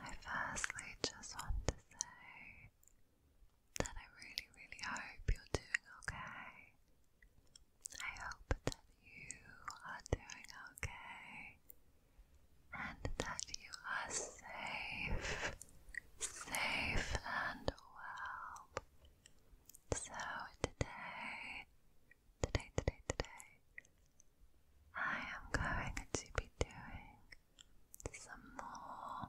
I firstly just want to say that I really, really hope you're doing okay. I hope that you are doing okay and that you are safe, safe and well. So today today, today, today, I am going to be doing some more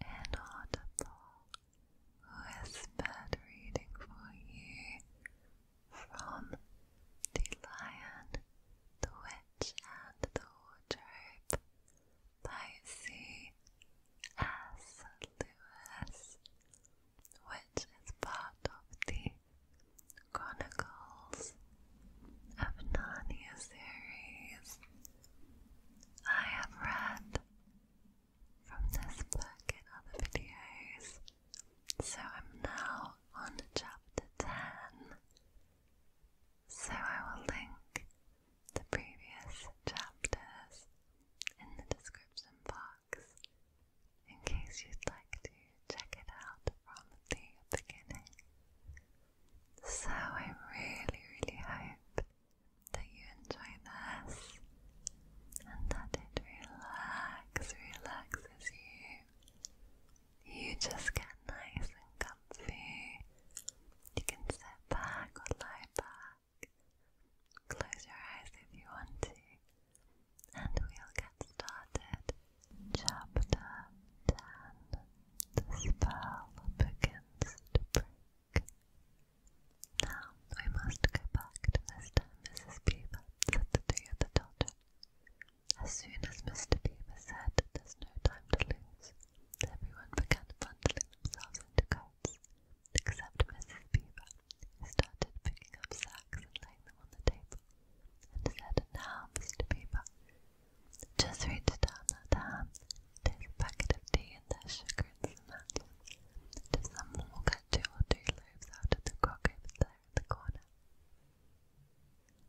inaudible whispered reading for you from The Lion, the Witch, and the Wardrobe by C.S. Lewis, which part of the Chronicles of Narnia series. I have read from this book in other videos, so I'm now on chapter 10. So I will link the previous chapters in the description box in case you'd like to check it out from the beginning. So I really, really hope that you enjoy this and that it relax, relaxes you. You just get nice and comfy. You can sit back or lie back. Close your eyes if you want to and we'll get started. Chapter 10 The spell begins to break. Now we must go back to Miss time, Mrs. Beaver, said the three other children. As soon as Mr. Beaver said there's no time to lose, everyone began bundling themselves into coats, except Mrs. Beaver, started picking up sacks and laying them on the table, and said now, Mr. Beaver, just reach down that hand, there's a packet of tea and there's sugar and some matches, and someone will get two or three loaves out of the crock over the corner.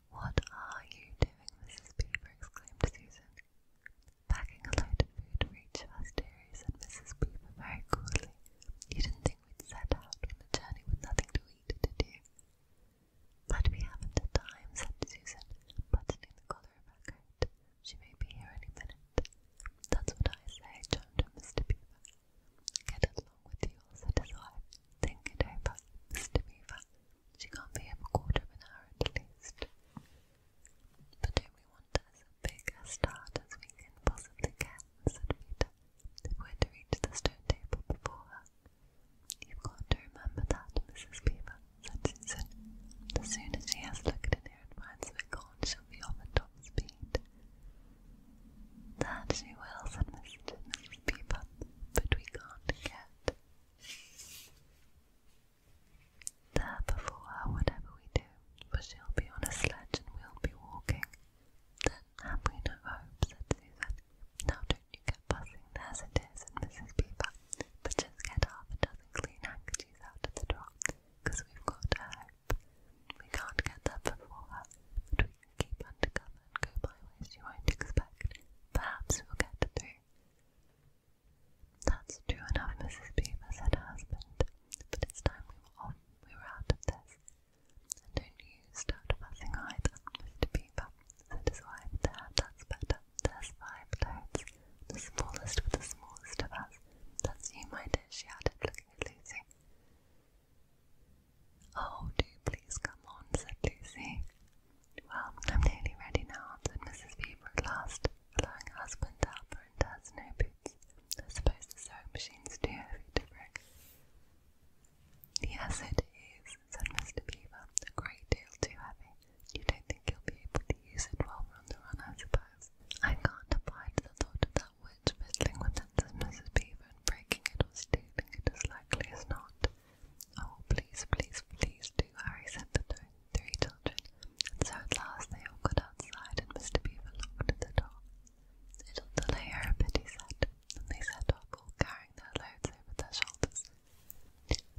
What are you doing, Mrs. Beaver? exclaimed Susan. Packing a load of food for each of us, dearie, said Mrs. Beaver very coolly. You didn't think." we'd set out on a journey with nothing to eat to do. But we haven't a time, said Susan, buttoning the collar of She may be here any minute. That's what I say, chimed in Mr. Beaver. Get along with you, said his wife. Think it over, Mr. Beaver. She can't be here a quarter of an hour at least. But do we want as big a start as we can possibly get? said Peter, we're to reach the stone table before her. You've got to remember that, Mrs. Beaver, said Susan. As soon as she has looked in here and finds we're gone, she'll be off at top speed. That she will, said Mrs. Beaver, but we can't get there before her, whatever we do, she'll be on a sledge and we'll be walking. That happily enough, hope, said Susan. Now don't you get buzzing, there's it is, and Mrs. Beaver, but just get half a dozen clean handkerchiefs out of the drawer, because we've got to hope. We can't get that before her, but we can keep undercover and go by ways you won't expect. Perhaps we'll get through. That's true enough, Mrs. Beaver, said her husband, but it's time we were off, we were out of this don't you start fussing either, Mr. Beaver, said his wife. There, that's better. There's five toads, the smallest with the smallest of us. That's you, my dear, she added, looking at Lucy. Oh, do please come on, said Lucy. Well, I'm nearly ready now, said Mrs. Beaver last, allowing husband to help her into boots. I suppose the sewing machine's too heavy to break. The acid is, said Mr. Beaver, a great deal too heavy. You don't think you'll be able to use it while we're on the run, I suppose. I can't abide the thought of that witch fiddling with it, said Mrs. Beaver, and breaking it or stealing it as likely as not. Oh, please, please, please do, Harry said the three children. And so at last they all got outside, and Mr. Beaver locked the door. It'll delay her a bit, said, and they set off, oh, all carrying their loads over their shoulders.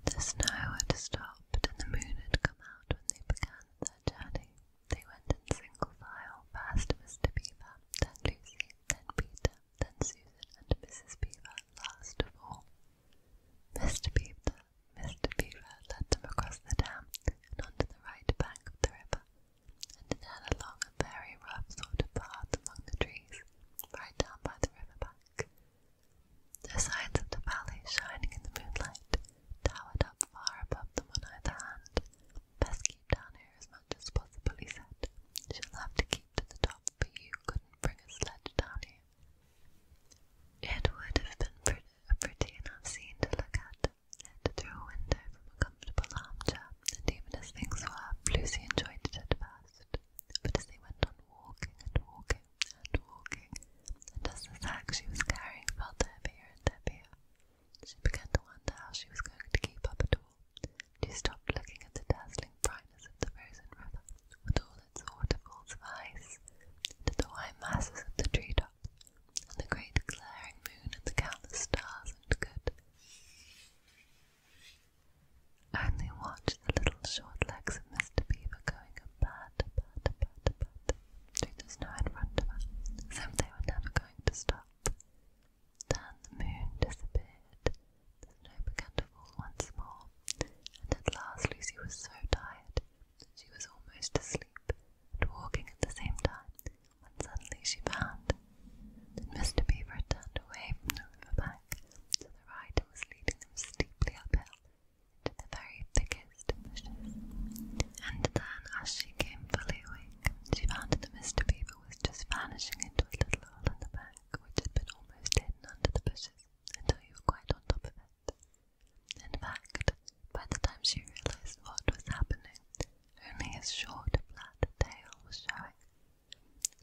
The snow had stopped, and the moon had come out when they began their journey. They went in single file, first Mr. Beaver, then Lucy, then Peter, then Susan, and Mrs. Beaver, last of all. Mr. Beaver, Mr. Beaver led them across the dam and onto the right bank of the river, and it had along a very rough sort of path among the trees, right down by the river bank. The sides of the valley, shining in the moonlight, towered up far above them on either hand. Best keep down here as much as possible, said. She'll have to keep to the top, but you couldn't bring a sled down here. It would have been a pretty enough scene to look at and through a window from a comfortable armchair, and even as things were, Lucy enjoyed it at first. But as they went on walking and walking and walking, and as the sack she was carrying felt heavier and heavier, she began to wonder how she was going to keep up at all. She stopped looking at the dazzling brightness of the frozen river, with all its waterfalls of ice, and at the white masses of the treetops and the great glaring moon and the countless stars looked good. Only watch the little short legs of Mr. Beaver going a pat, pat, pat, pat through the snow in front of as if they were never going to stop. Then the moon disappeared, the snow began to fall once more, and at last Lucy was so tired that she was almost asleep, and walking at the same time, when suddenly she found that Mr. Beaver turned away from the river bank, so the rider was leading them steeply uphill into the very thickest bushes. And then, as she came fully awake, she found that Mr. Beaver was just vanishing into a little hole in the bank, which had been almost hidden under the bushes until you quite on top of it. In fact, by the time she realized what was happening, only his short, flat tail was showing.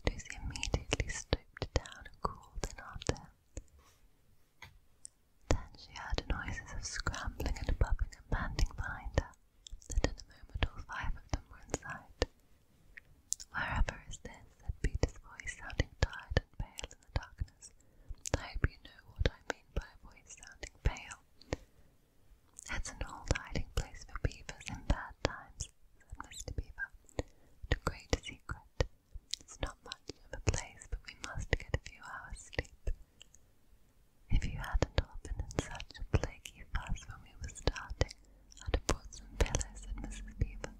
Lucy immediately stooped down and crawled in after him. Then she heard noises of scrambling and bumping and panting behind her, and in a moment all five of them were inside. Wherever is this? said Peter's voice, sounding tired and pale in the darkness. I hope you know what I mean by a voice sounding pale. It's an old hiding place for beavers in bad times, said Mr. Beaver. The great secret. It's not much of a place, but we must get a few hours' sleep. If you hadn't all been in such a flaky fuss when we were starting, I'd have brought some pillows, said Mrs. Beaver.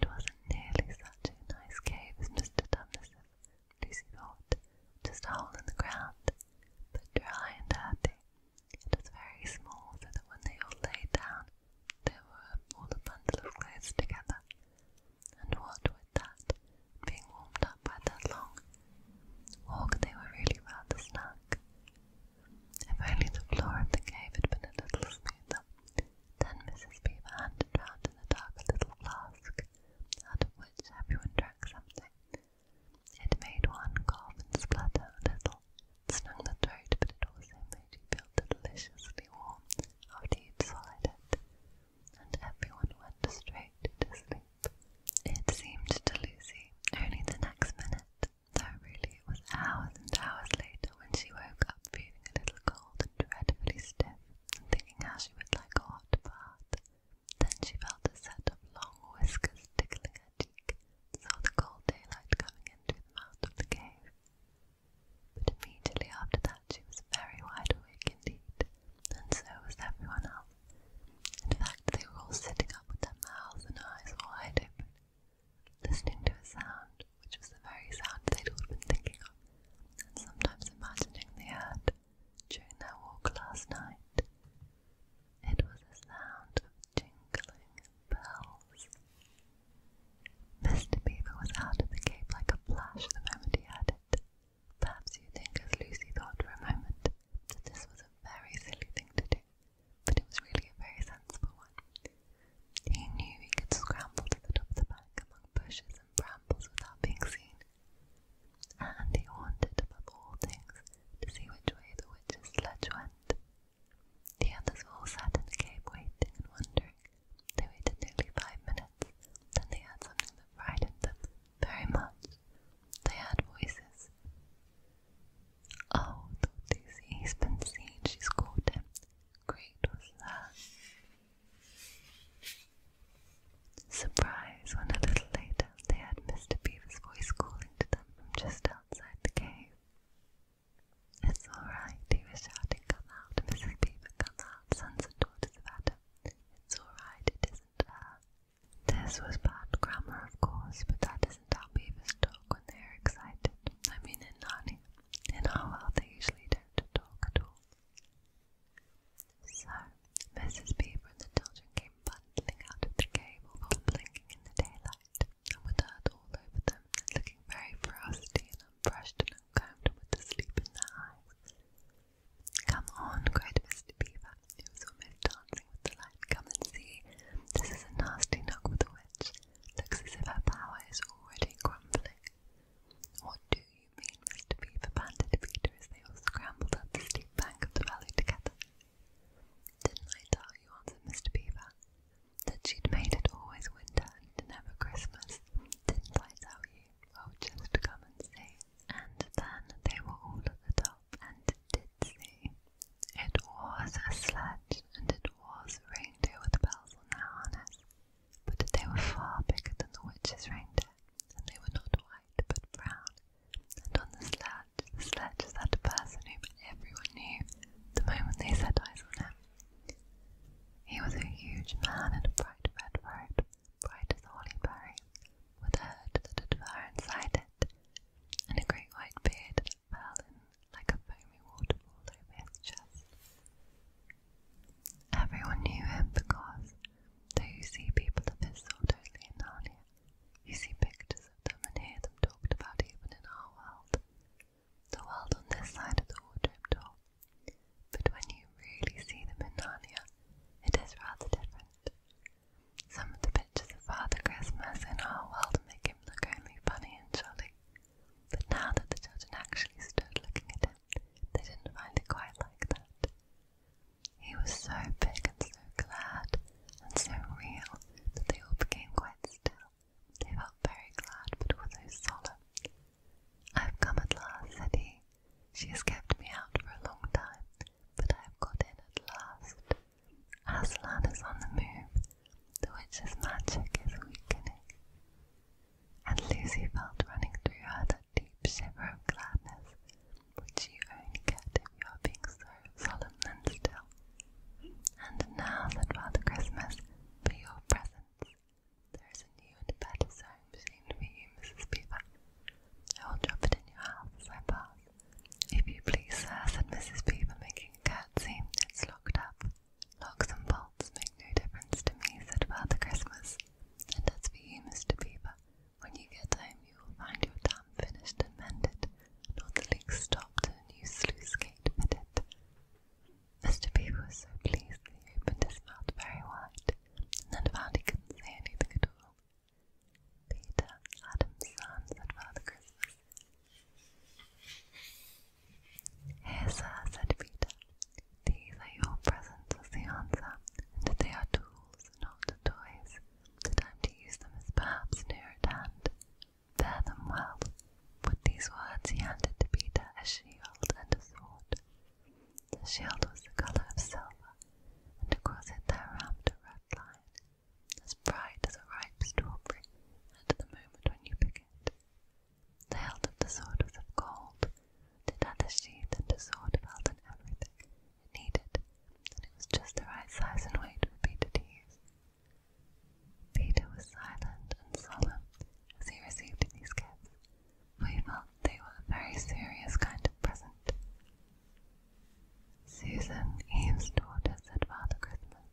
It wasn't nearly such a nice cave as Mr. Dundas', Lucy thought, just a hole in the ground, but dry and dirty. It was very small, so that when they all lay down, they were all a bundle of clothes together. And what with that, being warmed up by that long walk, they were really rather snug. If only the floor of the cave had been a little smoother. Then Mrs. Beaver handed round in the dark a little flask, out of which everyone drank something. It made one cough and splutter a little. It stung the throat, but it also made you feel deliciously warm after you'd swallowed it, and everyone went straight to sleep. It seemed to Lucy only the next minute, though really it was hours and hours later when she woke up feeling a little cold and dreadfully stiff and thinking how she would like a hot bath. Then she felt a set of long whiskers tickling her cheek, and saw the cold daylight coming into the mouth of the cave. But immediately after that she was very wide awake indeed, and so was everyone else. In fact, they were all sitting up with their mouths and eyes wide open, listening to a sound which was the very sound they'd all been thinking of, and sometimes imagining they heard during that walk last night. It was a sound of tinkling bells. Mr. Beaver was out of the cave like a flash the moment he heard Perhaps you think, as Lucy thought for a moment, that this was a very silly thing to do, but it was really a very sensible one. He knew he could scramble to the top of the bank among bushes bushes and brambles without being seen, and he wanted above all things to see which way the witch's sledge went. The others all sat in the cave waiting and wondering. They waited nearly five minutes, then they had something that frightened them very much. They had voices. Oh, thought Lucy, he's been seen, she's caught him. Great was that. Surprised when a little later they heard Mr. Beaver's voice calling to them from just outside the cave. It's alright, he was shouting, come out, Mrs. Beaver, come out, sons and daughters of Adam. It's alright, it isn't This was bad grammar, of course, but that isn't how beavers talk when they are excited. I mean, in Narnia. In our they usually don't talk at all. So, Mrs. Beaver and the children came bundling out of the cave, all blinking in the daylight, and with dirt all over them, looking very frosty and unbrushed and uncombed, with the sleep in their eyes. Come on, cried Mr. Beaver, who was almost dancing with delight. Come and see. This is a nasty knock with the witch. Looks as if her power is already crumbling. What do you mean, Mr. Beaver panted to Peter as they all scrambled up the steep bank of the valley together. Didn't I tell you, answered Mr. Beaver, that she'd made it always winter and never Christmas? Didn't I tell you? Well, oh, just come and see. And then they were all at the top and did see. It was a sledge, and it was a reindeer with bells on their harness but they were far bigger than the witch's reindeer, and they were not white but brown. And on the sledge, the sledge sat a person whom everyone knew the moment they set eyes on him. He was a huge man in a bright red robe, bright as a holly berry, with a hood that had fur inside it, and a great white beard that fell in like a foamy waterfall over his chest. Everyone knew him because, though you see people of his sort only in Narnia, you see pictures of them and hear them talked about even in our world. The world on this side of the wardrobe door. But when you really see them in Narnia, it is rather different. Some of the pictures of Father Christmas in our world make him look only funny and jolly. But now that the children actually stood looking at him, they didn't find it quite like that. He was so big and so glad and so real that they all became quite still. They felt very glad but also solemn. I've come at last, said he. She has kept me out for a long time, but I have got in at last. Aslan is on the move. The witch's magic is weakening and Lucy felt running through her that deep shiver of gladness which you only get if you are being so solemn and still. And now, said Father Christmas, for your presents, there is a new and better song seemed for you, Mrs. Beaver. I will drop it in your house as I If you please, sir, said Mrs. Beaver, making a curtsy, it's locked up. Locks and bolts make no difference to me, said Father Christmas. And that's for you, Mr. Beaver, when you get home you will find your dam finished and mended, and all the leaks stopped and a new sluice gate fitted. Mr. Beaver was so pleased he opened his mouth very wide, and then found he couldn't say anything at all. Peter, Adam's son, said Father Christmas. Here, sir, said Peter, these are your presents was the answer, and they are tools, not toys. The time to use them is perhaps near at hand. Bear them well. With these words he handed to Peter a shield and a sword. The shield was the colour of silver, and across it there wrapped a red line, as bright as a ripe strawberry at the moment when you pick it. The hilt of the sword was of gold. It had a sheath and the sword belt and everything needed, and it was just the right size and weight for Peter to use. Peter was silent and solemn as he received these gifts, he felt they were a very serious kind of present. Susan, Eve's daughter, said Father Christmas,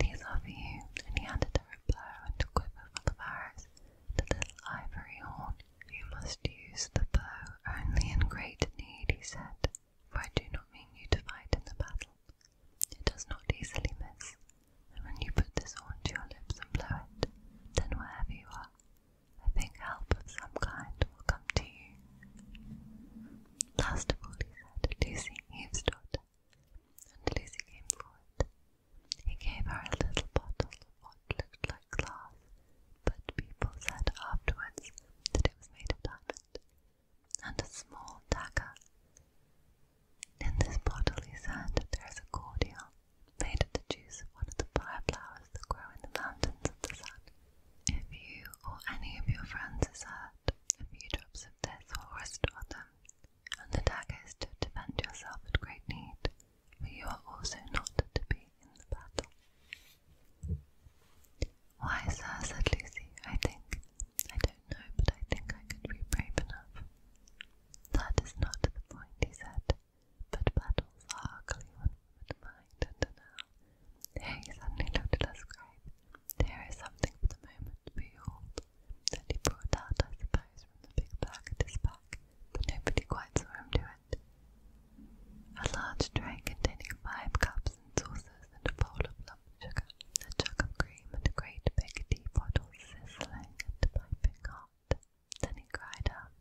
These are for you, and he handed her a bow and a quiver full of arrows, the little ivory horn you must use the bow only in great need, he said, for I do not mean you to fight in the battle. It does not easily miss, and when you put this horn to your lips and blow it, then wherever you are, I think help of some kind will come to you. Last of all, he said, Lucy Eavesdot and Lizzie came forward. He gave her a little bottle of what looked like glass, but people said afterwards that it was made of diamond, and a small dagger. In this bottle, he said, there is a cordial made of the juice of one of the fire flowers that grow in the mountains of the sun. If you or any of your friends is hurt, a few drops of this will restore them, and the daggers to defend yourself at great need, but you are also not to be in the battle. Why, sir, said Lucy, I think, I don't know, but I think I could be brave enough. That is not the point, he said, but battles are ugly when the mind and now. Here he suddenly looked at us grave. There is something for the moment, to behold. That he brought out, I suppose, from the big bag at his back, but nobody quite saw him do it. A large tray containing five cups and saucers and a bowl of lump sugar, a jug of cream and a great big tea bottle, sizzling and piping hot. Then he cried out,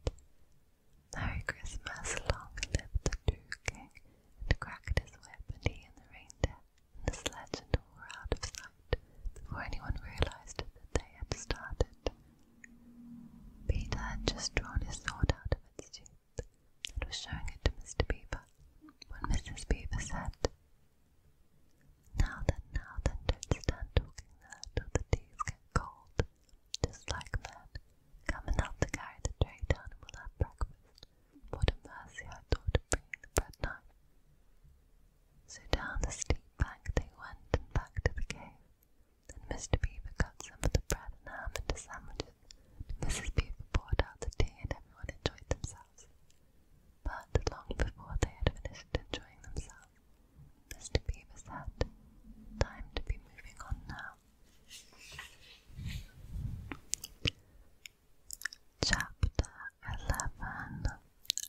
Merry Christmas, long live the true king, and cracked his whip and he and the reindeer and the sledge and all were out of sight before anyone realized that they had started. Peter had just drawn his sword out of its sheath and was showing it to Mr. Beaver when Mrs. Beaver said, Now then, now then, don't stand talking there till the teas get cold. Just like that, Come and help to carry the tray down we have breakfast. What a mercy I thought of bringing the bread knife. So down the steep bank they went and back to the cave, Then Mr. Beaver cut some of the bread and ham into sandwiches, and Mrs. Beaver poured out the tea and everyone enjoyed themselves. But long before they had finished enjoying themselves, Mr. Beaver said, Time to be moving on now. Chapter 11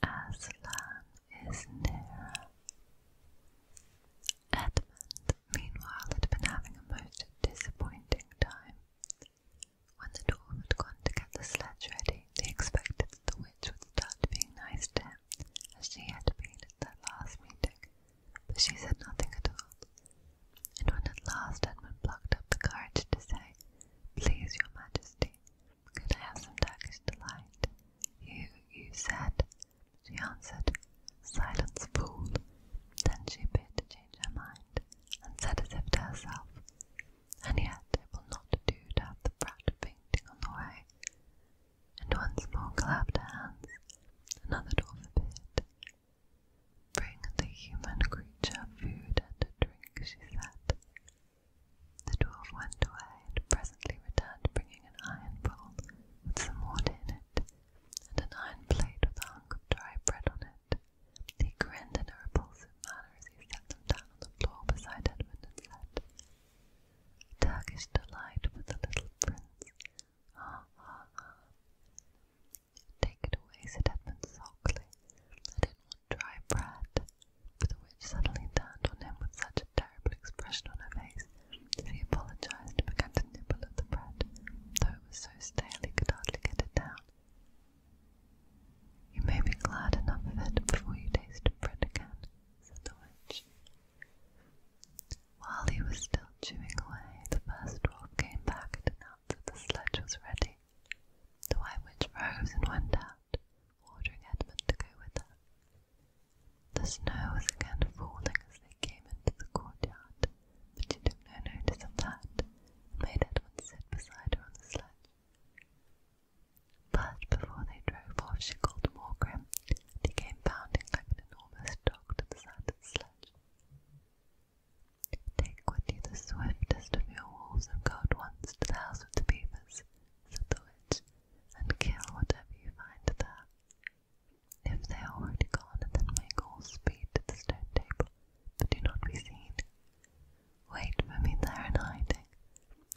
Aslan is near. Edmund, meanwhile, had been having a most disappointing time. When the dwarf had gone to get the sledge ready, they expected that the witch would start being nice to him, as she had been at their last meeting, but she said nothing at all. And when at last Edmund blocked up the courage to say, Please, your majesty, could I have some Turkish delight? You, you said. She answered, Silence, fool. Then she appeared to change her mind, and said as if to herself, And yet it will not do to have the brat fainting on the way. And once more clapped her hands. Another dwarf appeared. Bring the human creature food and drink, she said. The dwarf went away and presently returned bringing an iron bowl with some water in it, and an iron plate with a hunk of dry bread on it. He grinned in a repulsive manner as he set them down on the floor beside Edmund and said, Turkish delight for the little prince. Ah, ah, ah. Take it away, said Edmund sulkily dry bread, the witch suddenly turned on him with such a terrible expression on her face that he apologized and began to nibble at the bread, though it was so stale he could hardly get it down. You may be glad enough of it before you taste bread again, said the witch. While he was still chewing away, the first dwarf came back and announced that the sledge was ready. The white witch rose and went out out, Edmund to go with her. The snow was again falling as they came into the courtyard, but she took no notice of that, and made Edmund sit beside her on the sledge. But before they drove off, she called Morgrim, and he came bounding like an enormous dog to the side of the sledge. Take with you the swiftest of your wolves and cold ones, to the house of the beavers," said the witch, "and kill whatever you find there. If they are already gone, then make all speed to the stone table, but do not be seen. Wait for me there in hiding.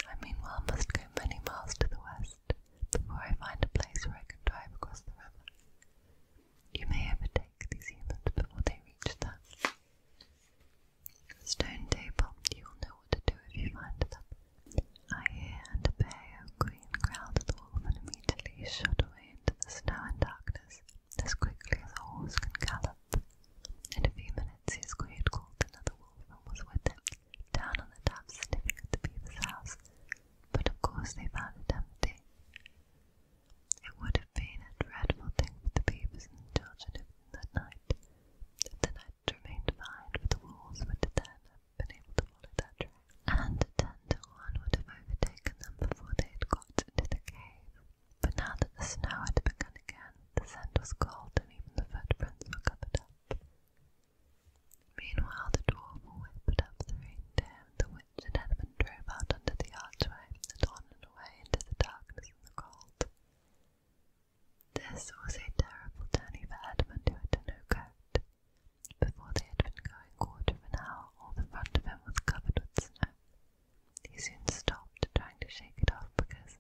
I meanwhile must go many miles to the west before I find a place where I can drive across the river. You may overtake these humans before they reach that." Stone table, you'll know what to do if you find them. I hear and obey, O queen, growled the wolf, and immediately shot away into the snow and darkness, as quickly as a horse can gallop. In a few minutes his queen called another wolf and was with him, down on the top sniffing at the beaver's house, but of course they found it empty. It would have been a dreadful thing for the babies and the children if that night, if the night had remained behind, for the wolves would then have been able to follow their track, and ten to one would have overtaken them before they had got into the cave. But now that the snow had begun again, the scent was cold and even the footprints were covered up. Meanwhile, the dwarf whipped up the rain, and the wind and Edmund drove out under the archway, and on turned into the darkness and the cold. This was a terrible journey for Edmund, who had no coat. Before they had been going quarter of an hour, all the front of him was covered with snow. He soon stopped, trying to shake it off, because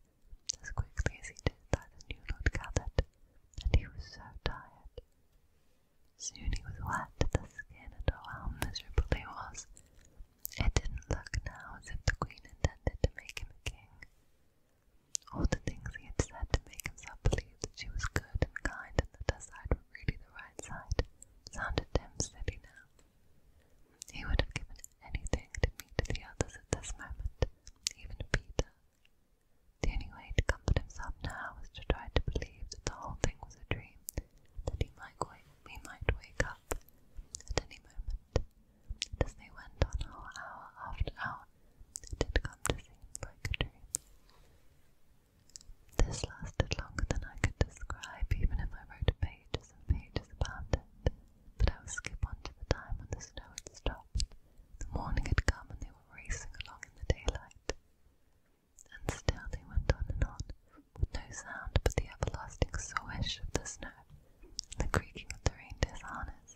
as quickly as he did that, the new lord gathered, and he was so tired. Soon he was wet to the skin, and oh, how miserable he was! It didn't look now as if the queen intended to make him a king. All the things he had said to make himself believe that she was good and kind and that her side was really the right side sounded to him now. He would have given anything to meet the others at this moment, even Peter. The only way to comfort himself now was to try to believe that the whole thing was a dream, that he might wake we might wake up at any moment. as they went on hour after hour, it had come to seem like a dream. This lasted longer than I could describe, even if I wrote pages and pages about it. But I would skip on to the time when the snow had stopped. The morning had come, and they were racing along in the daylight. And still they went on and on, no sound but the everlasting swish of the snow and the creaking of the reindeer's harness.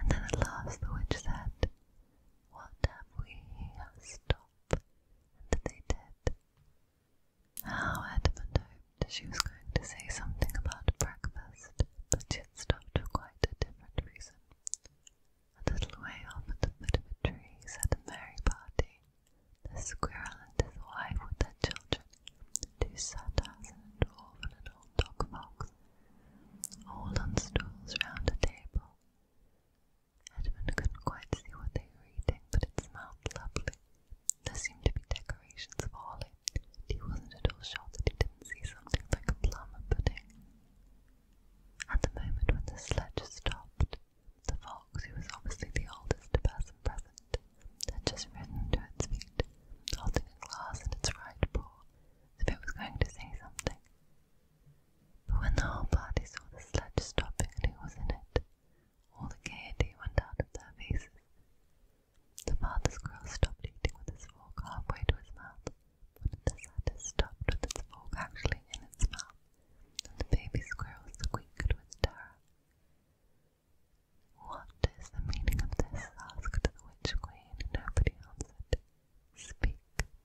And then at last the witch said, What have we here? Stop! And they did. How Edmund hoped she was going to say something about breakfast, but she had stopped for quite a different reason. A little way off at the foot of a tree sat a merry party the squirrel and his wife with their children, two satyrs and a dwarf and an old dog box, all on stools round a table. Edmund couldn't quite see what they were eating, but it smelled lovely. There seemed to be decorations for Holly, and he wasn't at all sure that he didn't see something like a plum pudding. At the moment when the sledge stopped, the fox, who was obviously the oldest person present, had just ridden to its feet, holding a glass in its right paw, as if it was going to say something. But when the whole party saw the sledge stopping and who was in it, all the gaiety went out of their faces. The father squirrel stopped eating with his fork halfway to his mouth, and the satyr stopped with its fork actually in its mouth, the baby squirrel squeaked with terror. What is the meaning of this? asked the witch queen, and nobody answered. Speak,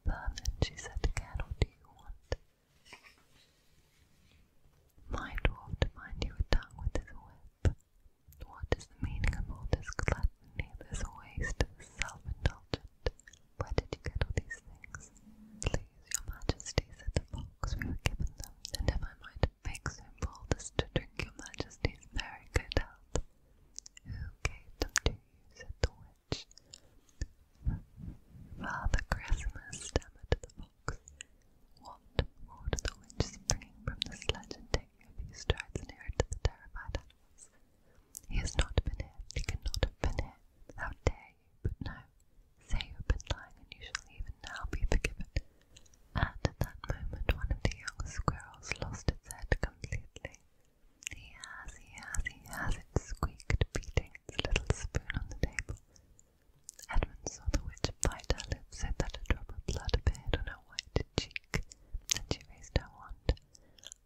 vermin, she said again, what do you want? My dwarf mind you a tongue with his whip. What is the meaning of all this gluttony, this waste, self-indulgent? Where did you get all these things? Please, your majesty, said the fox because we were given them, and if I might make so bold as to drink your majesty's very good health. Who gave them to you? said the witch. Father Christmas stammered the fox. What? ordered the witch, springing from the sledge and taking a few strides nearer to the terrified animals. He has not been here, he could have been here. How dare but no, say you have been lying and you shall even now be forgiven. And at that moment one of the young squirrels lost its head completely. He has, he squeaked, beating its little spoon on the table. Edmund saw the witch bite her lips, and that a drop of blood appeared on her white cheek, and she raised her wand.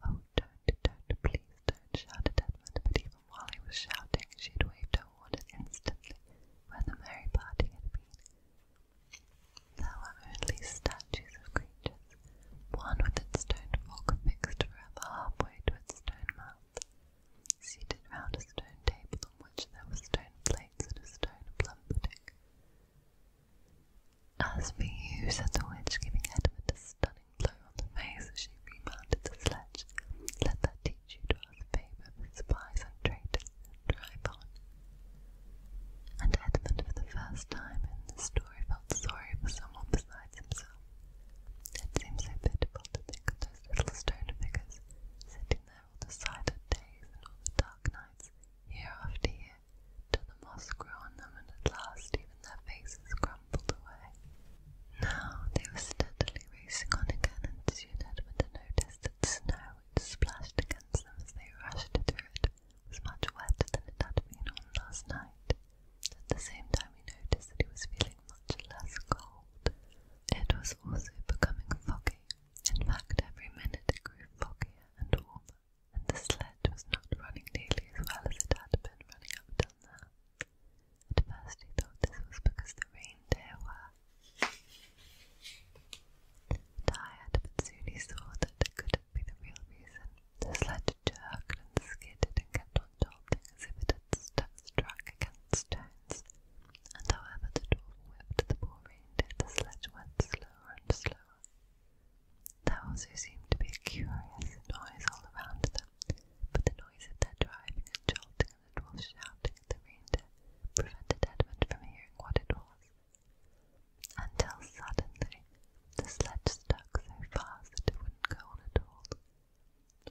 Oh, don't, don't, please don't, shouted Edmund, but he while he was shouting, she had waved her warning instantly where the merry party had been. There were only statues of creatures, one with its stone fork fixed forever halfway to its stone mouth, seated round a stone table on which there were stone plates and a stone plum pudding. As for you, said the witch, giving Edmund a stunning turning on the face as she remounted the sledge. Let that teach you to ask favour for and traitors and drive And Edmund, for the first time in the story, felt sorry for someone besides himself. It seems so pitiful to think of those little stone figures sitting there all the silent days and all the dark nights, year after year, till the moss grew on them and at last even their faces crumbled. Now they were steadily racing on again, and soon Edmund noticed that snow which splashed against them as they rushed through it It was much wetter than it had been on last night. At the same time, he noticed that he was feeling much less cold. It was also becoming foggy. In fact, every minute it grew foggier and warmer, and the sled was not running nearly as well as it had been running up till now. At first he thought this was because the reindeer were tired, but soon he saw that it couldn't be the real reason. The sled jerked and skidded and kept on jolting as if it had stuck struck against stones. And however the dwarf whipped the poor reindeer, the sledge went slower and slower. There also seemed to be curious and noisy all around them, but the noise of their driving and jolting and the dwarf's shouting at the reindeer prevented Edmund from hearing what it was. Until suddenly the sledge stuck so fast that it wouldn't go on at all.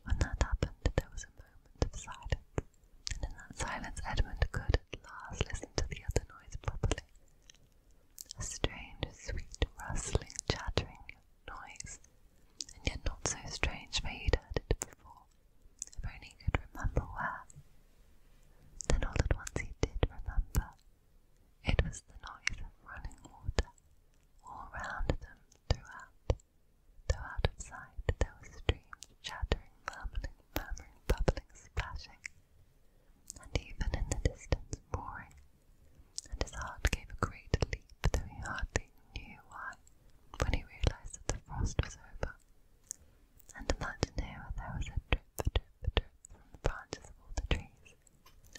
When that happened, there was a moment of silence, and in that silence Edmund could at last listen to the other noise properly. A strange, sweet, rustling, chattering noise, and yet not so strange where he'd heard it before, if only he could remember where. Then all at once he did remember. It was the noise of running water all round them throughout, though out of sight there were streams chattering, murmuring, murmuring, bubbling, splashing, and even in the distance roaring and his heart gave a great leap, though he hardly knew why, when he realized that the frost was over, and in that nearer there was a drip, drip, drip from the branches of all the trees.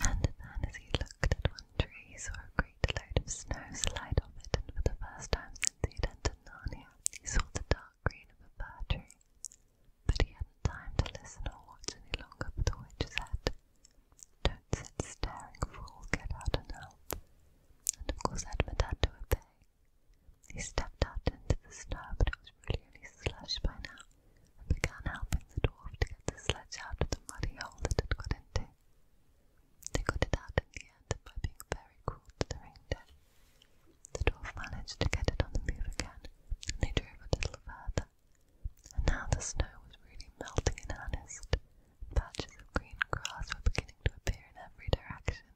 And then, as he looked at one tree, he saw a great load of snow slide off it, and for the first time since he had entered Narnia, he saw the dark green of a fir tree. But he hadn't time to listen or watch any longer, for the witch's head don't sit staring, fool, get out and help. And of course Edmund had to obey. He stepped out into the snow, but it was really only slush by now, and began helping the dwarf to get the sledge out of the muddy hole that it got into. They got it out in the end by being very cruel to the reindeer. The dwarf managed to get it on the move again, and they drove a little further and now the snow was really melting in earnest. Patches of green grass were beginning to appear in every direction.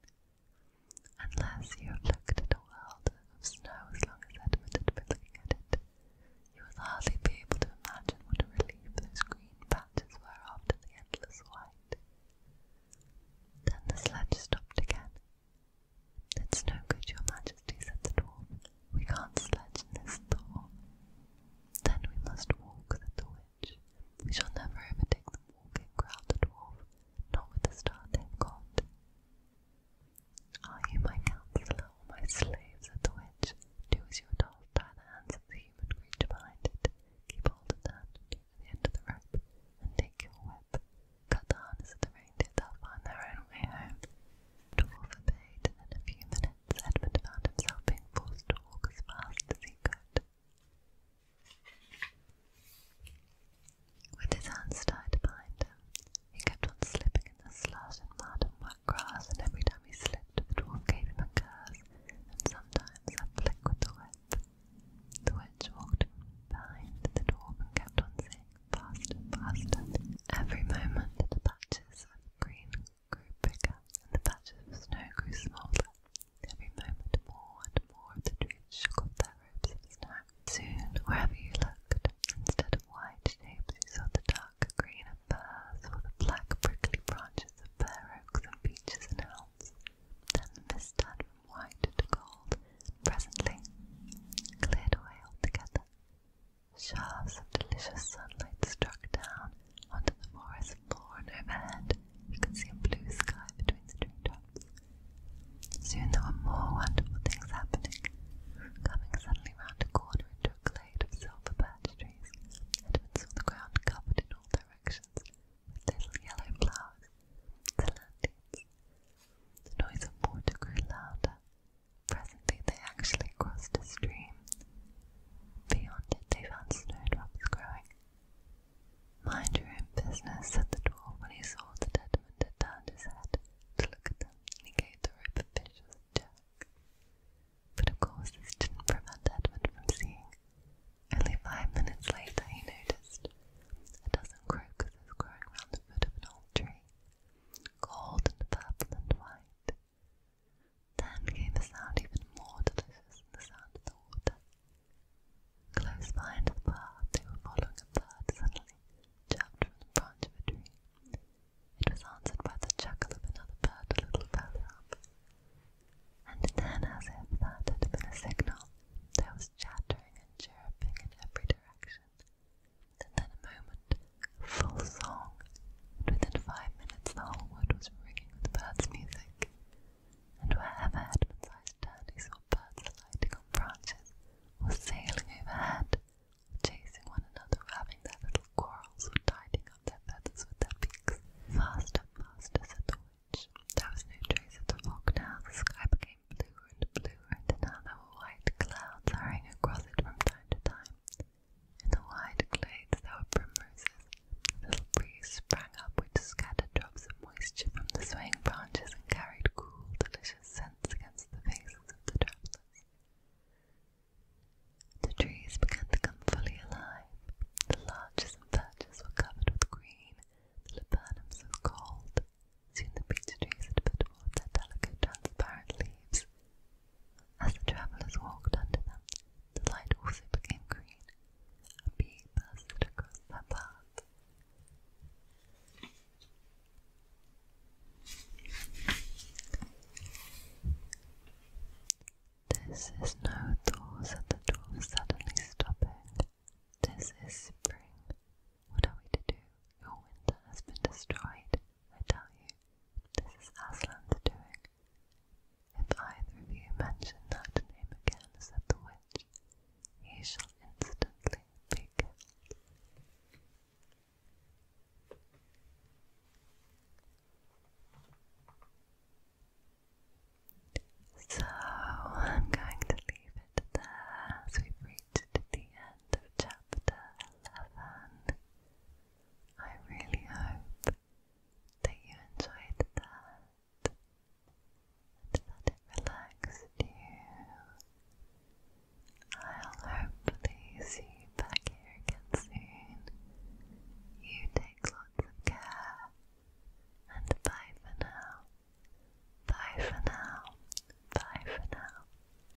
Unless you have looked at a world of snow as long as Edmund had been looking at it, you would hardly be able to imagine what a relief those green patches were after the endless white. Then the sledge stopped again. "It's no good, your majesty," said the dwarf. "We can't sledge in this thaw." Then we must walk, said the witch. We shall never ever take the walking, growled the dwarf, not with the start they've Are you my counsellor or my slaves? said the witch. Do as you are told, tie the hands of the human creature behind it, keep hold of that to the end of the rope, and take your whip. Cut the harness of the reindeer, they'll find their own way home. Dwarf obeyed, and in a few minutes Edmund found himself being forced to walk as fast as he could. With his hands tied behind him, he kept on slipping in the slush and mud and wet grass, and every time he slipped, the dwarf gave him a curse, and sometimes a flick with the whip. The witch walked behind the dwarf and saying faster faster. Every moment the patches of green grew bigger, and the patches of snow grew smaller. Every moment more and more of the trees shook off their robes of snow. Soon, wherever you looked, instead of white shapes, you saw the dark green of firs or the black prickly branches of bare oaks and beeches and elms. Then the mist turned from white to gold, and presently cleared away altogether. Shafts of delicious sunlight struck down onto the forest floor and overhead you could see a blue sky between the tree tops. Soon there were more wonderful things happening. Coming suddenly round a corner into a glade of silver birch trees, Edmund saw the ground covered in all directions with little yellow flowers, the The noise of water grew louder, Presently they actually crossed a stream. Beyond it they found snowdrops growing. Mind your own business, said the dwarf when he saw that Edmund had turned his head to look at them, he gave the rope a vicious jerk. But of course this didn't prevent Edmund from seeing. Only five minutes later he noticed a dozen crocuses growing round the foot of an old tree, gold and purple and white. Then came a sound even more delicious than the sound of the water. Close behind the path they were following a bird suddenly chirped from the branch of a tree. It was answered by the chuckle of another bird a little further And then, as if that had been a signal, there was chattering and chirruping in every direction and then a moment, full song, and within five minutes the whole wood was ringing with birds' music, and wherever Edmund's eyes turned he saw birds alighting on branches, or sailing overhead, chasing one another, or having their little quarrels, or tidying up their feathers with their beaks. Faster, faster, said the witch. There was no trace of the fog now, the sky became bluer and bluer, and now there were white clouds hurrying across it from time to time. In the wide glades there were primroses. A little breeze sprang up which scattered drops of moisture from the swaying branches and carried cool, delicious scents against the faces of the travellers. The trees began to come fully alive. The larches and birches were covered with green, the laburnums with cold. Soon the beech trees had put forth their delicate, transparent leaves, as the travellers walked under them, the light also became green. A bee buzzed across their path. This is no thaw, said the dwarf, suddenly stopping. This is spring. What are we to do? Your winter has been destroyed. I tell you, this is Aslan's doing. If either of you mention that name again, said the witch, he shall instantly be killed. So I'm going to leave it there as we've reached the end of chapter 11. I really hope that you enjoyed that and that it relaxed you. I'll hopefully see you back here again soon. You take lots of care and bye for now. Bye for now. Bye for now.